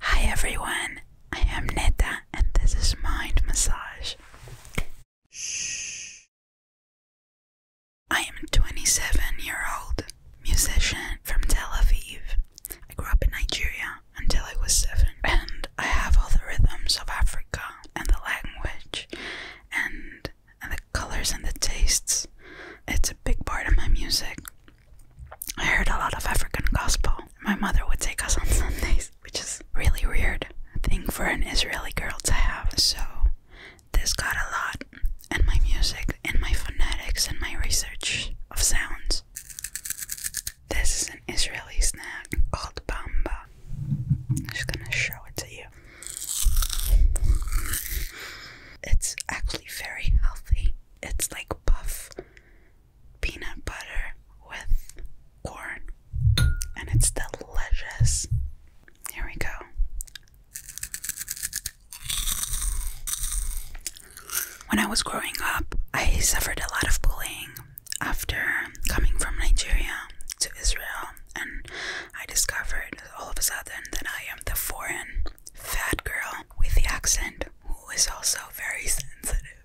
Hi everyone, I am Neta and this is Mind Massage. I am 27 year old musician from Tel Aviv. I grew up in Nigeria until I was 7 and I have all the rhythms of Africa and the language and the colors and the tastes. It's a big part of my music. I heard a lot of African gospel. My mother would take us on Sundays, which is really weird thing for an Israeli girl to have. So this got a lot and my music, and my phonetics, and my research of sounds. This is an Israeli snack called bamba. I'm just gonna show it to you. It's actually very healthy it's like puff peanut butter with corn, and it's delicious. Here we go. When I was growing up, I suffered a lot of bullying after coming from Nigeria to Israel, and I discovered all of a sudden that I am the foreign fat girl with the accent who is also very sensitive.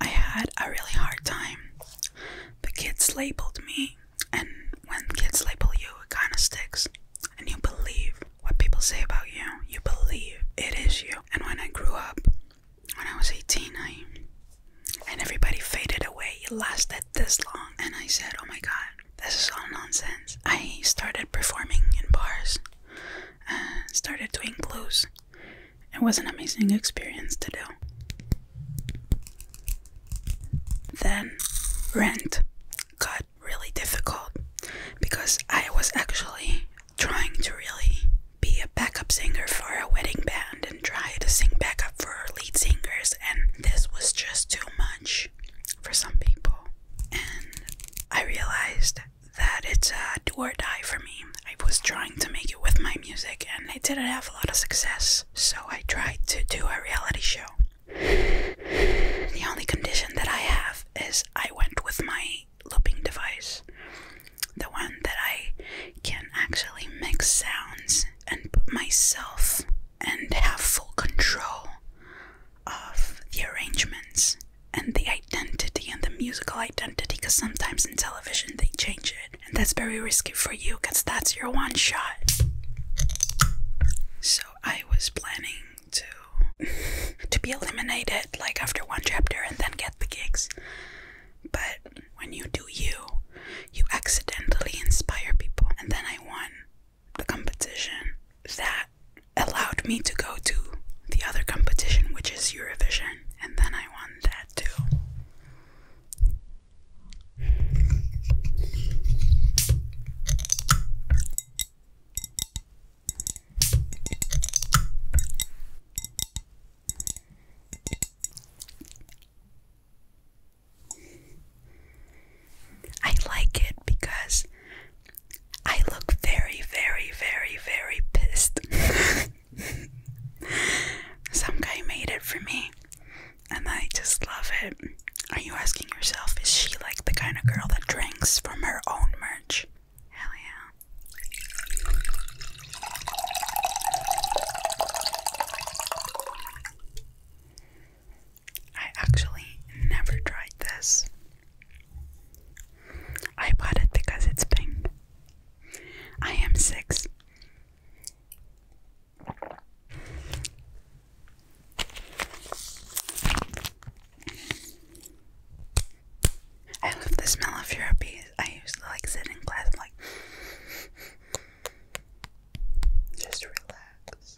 I had a really hard time. The kids labeled me, and when kids label you, it kind of sticks. And you believe what people say about you, you believe it is you. And when I grew up, when I was 18, I and everybody faded away. It lasted this long, and I said, Oh my god, this is all nonsense. I started performing in bars uh, started doing glues. It was an amazing experience to do. Then rent got really difficult because I was actually trying to really be a backup singer for a wedding band and try to sing backup for lead singers, and this was just too much for some people. And I realized that it's a do or die for me. I was trying to make it with my music and I didn't have a lot of success, so I tried to do a reality show. The only condition that I have is I went with my looping device, the one that I can actually mix sounds and put myself and have full control of the arrangements and the identity and the musical identity because sometimes in television they change it and that's very risky for you because that's your one shot so i was planning to to be eliminated like after one chapter and then get the gigs but when you do you you accidentally inspire people and then i won the competition that allowed me to go to the other competition, which is Eurovision, and then I won that too. I like it because I look very, very, very, very pissed. Some guy made it for me, and I just love it. Are you asking yourself, is she like the kind of girl that drinks from her own merch? Hell yeah. I actually never tried this. I bought it because it's pink. I am six. I love the smell of your bees. I used to like sitting in class like just relax.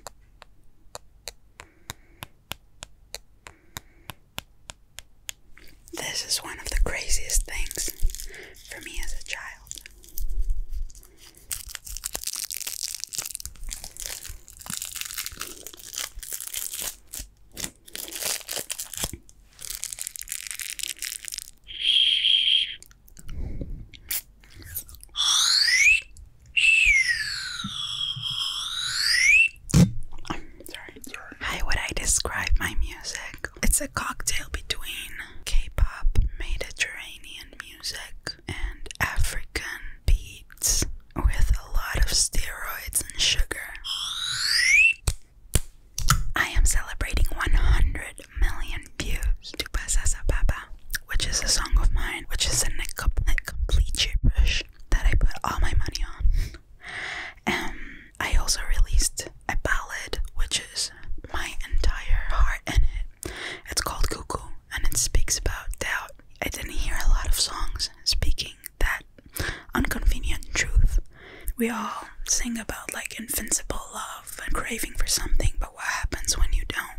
This is one of the craziest things for me as a child. How would I describe my music? It's a cocktail between K-pop, Mediterranean music, and African beats with a lot of steroids and sugar. I am celebrating 100 million views to Pasasa Baba, which is a song of mine, which is in a complete gibberish that I put all my money on. and I also released a ballad which is my entire heart in it. It's called Cuckoo and it speaks about doubt. I didn't hear a lot of songs speaking that inconvenient truth. We all sing about like invincible love and craving for something, but what happens when you don't?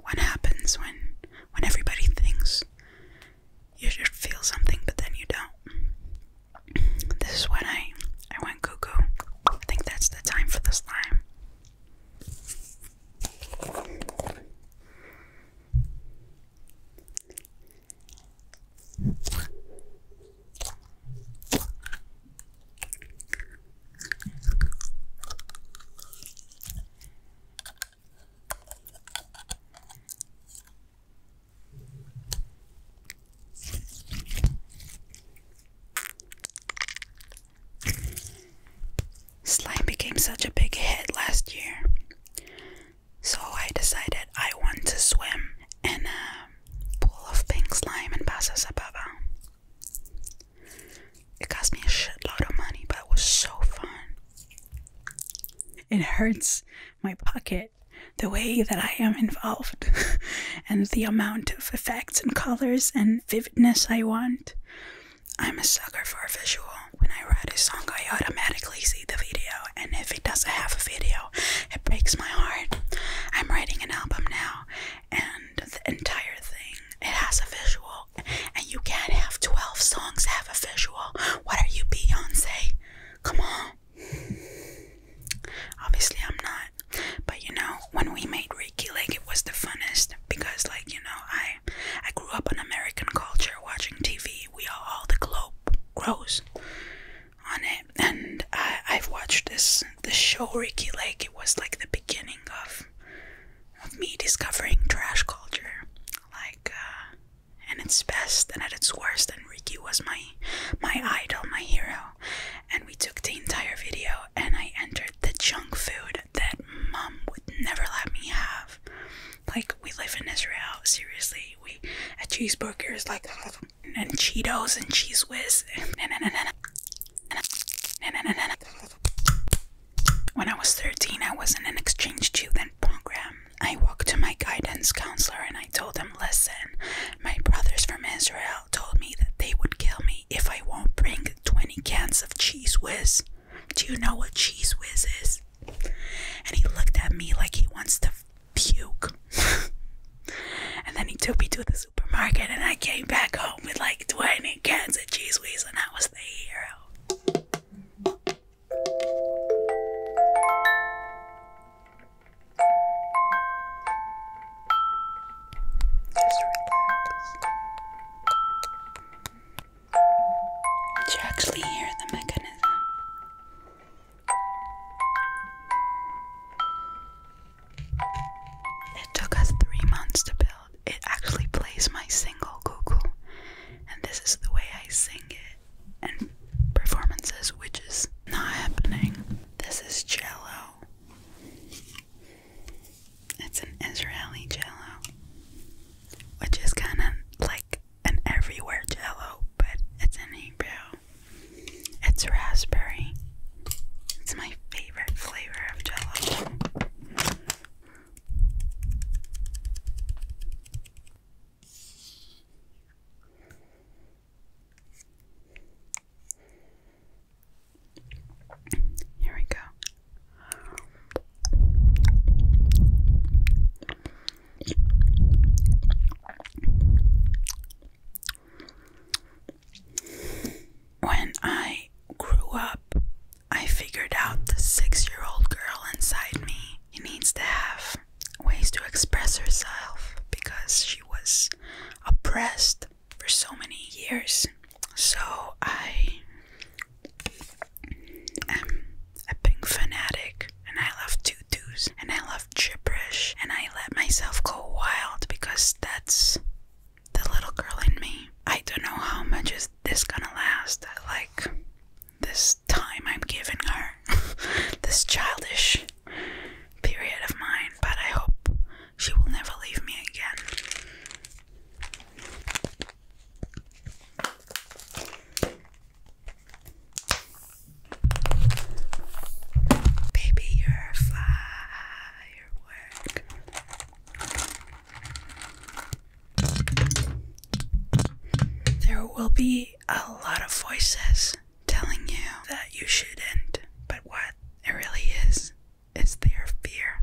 What happens when when everybody thinks you should feel something, but then you don't. This is when I I went cuckoo. I think that's the time for the slime. Slime became such a big hit last year, so I decided I want to swim in a pool of pink slime in Paso Sababa. It cost me a shitload of money, but it was so fun. It hurts my pocket the way that I am involved and the amount of effects and colors and vividness I want. I'm a sucker for visual. When I write a song, I automatically see the video, and if it doesn't have a video, it breaks my heart. I'm writing an album now, and the entire thing it has a visual, and you can't have 12 songs have a visual what are you, Beyonce? Come on. Obviously, I'm not. But you know, when we made Ricky, like it was the funnest because, like you know, I I grew up on American culture, watching TV. We all, all the globe grows on it, and I I've watched this this show Ricky Lake. It was like the beginning of of me discovering trash culture, like uh, at its best and at its worst, Enrique was my my idol, my hero. And we took the entire video and I entered the junk food that mom would never let me have. Like we live in Israel, seriously. We a cheeseburger is like and Cheetos and cheese whiz when I was 13, I was not an exchange student program. I walked to my guidance counselor and I told him, Listen, my brothers from Israel told me that they would kill me if I won't bring 20 cans of cheese whiz. Do you know what cheese whiz is? And he looked at me like he wants to puke. and then he took me to the supermarket and I came back home with like 20 cans of cheese whiz and I was the hero. Did you actually hear the mechanism? It took us three months to build. It actually plays my single Google, and this is the way I sing it and performances, which is not happening. This is jello. It's an Israeli jello, which is kind of like an everywhere jello, but it's in Hebrew. It's raspberry. It's my favorite flavor of jello. Here we go. When I grew up, I figured out the six year old girl inside me needs to have ways to express herself because she was oppressed for so many years. So I am a pink fanatic and I love tutus and I love gibberish and I let myself go wild because that's the little girl in me. I don't know how much is this gonna last. Like this time I'm giving her, this childish period of mine, but I hope she will never leave me again. Baby, you're a firework. There will be a lot of voices telling you that you shouldn't, but what it really is is their fear.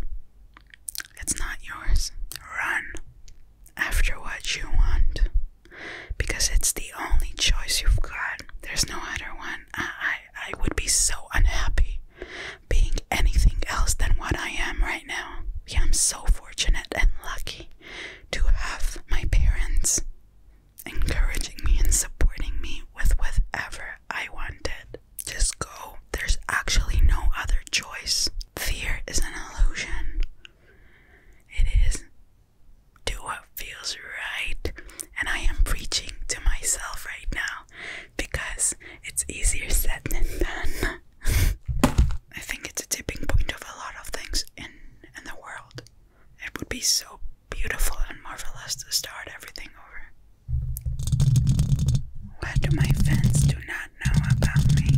It's not yours. Run after what you want because it's the only choice you've got. There's no other one. I, I, I would be so unhappy being anything else than what I am right now. Yeah, I'm so fortunate and lucky to have my parents encouraging me and supporting me with whatever I wanted. Just go. There's actually no other choice. Fear is an illusion. It is. Do what feels right. And I am preaching to myself right now because it's easier said than done. I think it's a tipping point of a lot of things in in the world. It would be so beautiful and marvelous to start everything over. Why do my fans do not know about me?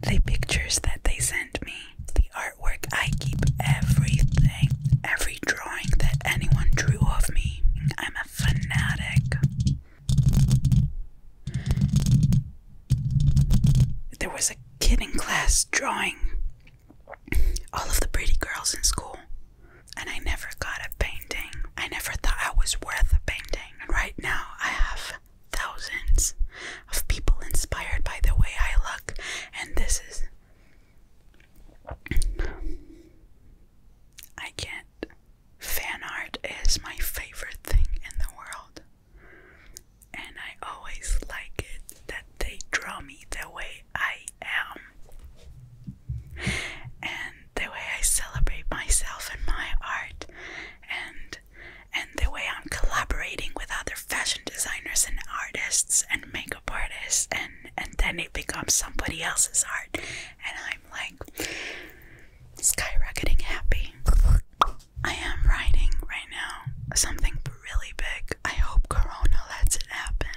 The pictures that they send me, the artwork I keep, everything, every drawing that anyone drew of me. I'm a fanatic. There was a kid in class drawing all of the pretty girls in school, and I never got a painting. I never thought I was worth a painting. And right now, I have thousands of people inspired by the way I look, and this is. I can't. Fan art is my favorite thing in the world. And I always like it that they draw me the way I am. And the way I celebrate myself and my art and and the way I'm collaborating with other fashion designers and artists and makeup artists and and then it becomes somebody else's art and I'm like skyrocketing happy. I am writing right now something really big. I hope Corona lets it happen.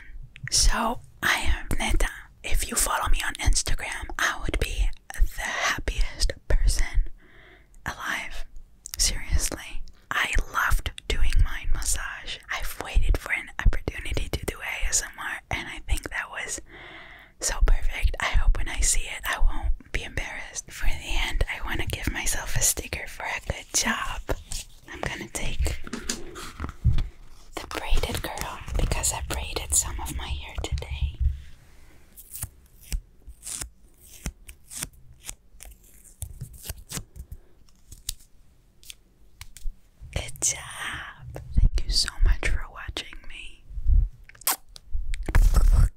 So, I am Neta. If you follow me on Instagram, I would be the happiest person alive. Seriously. I loved doing mind massage. I've waited for an opportunity to do ASMR, and I think that was so perfect. I hope when I see it, I won't be embarrassed. For the end, I want to give myself a sticker for a good job. I'm going to take the braided girl because I braided some of my hair today. Good job! Thank you so much for watching me.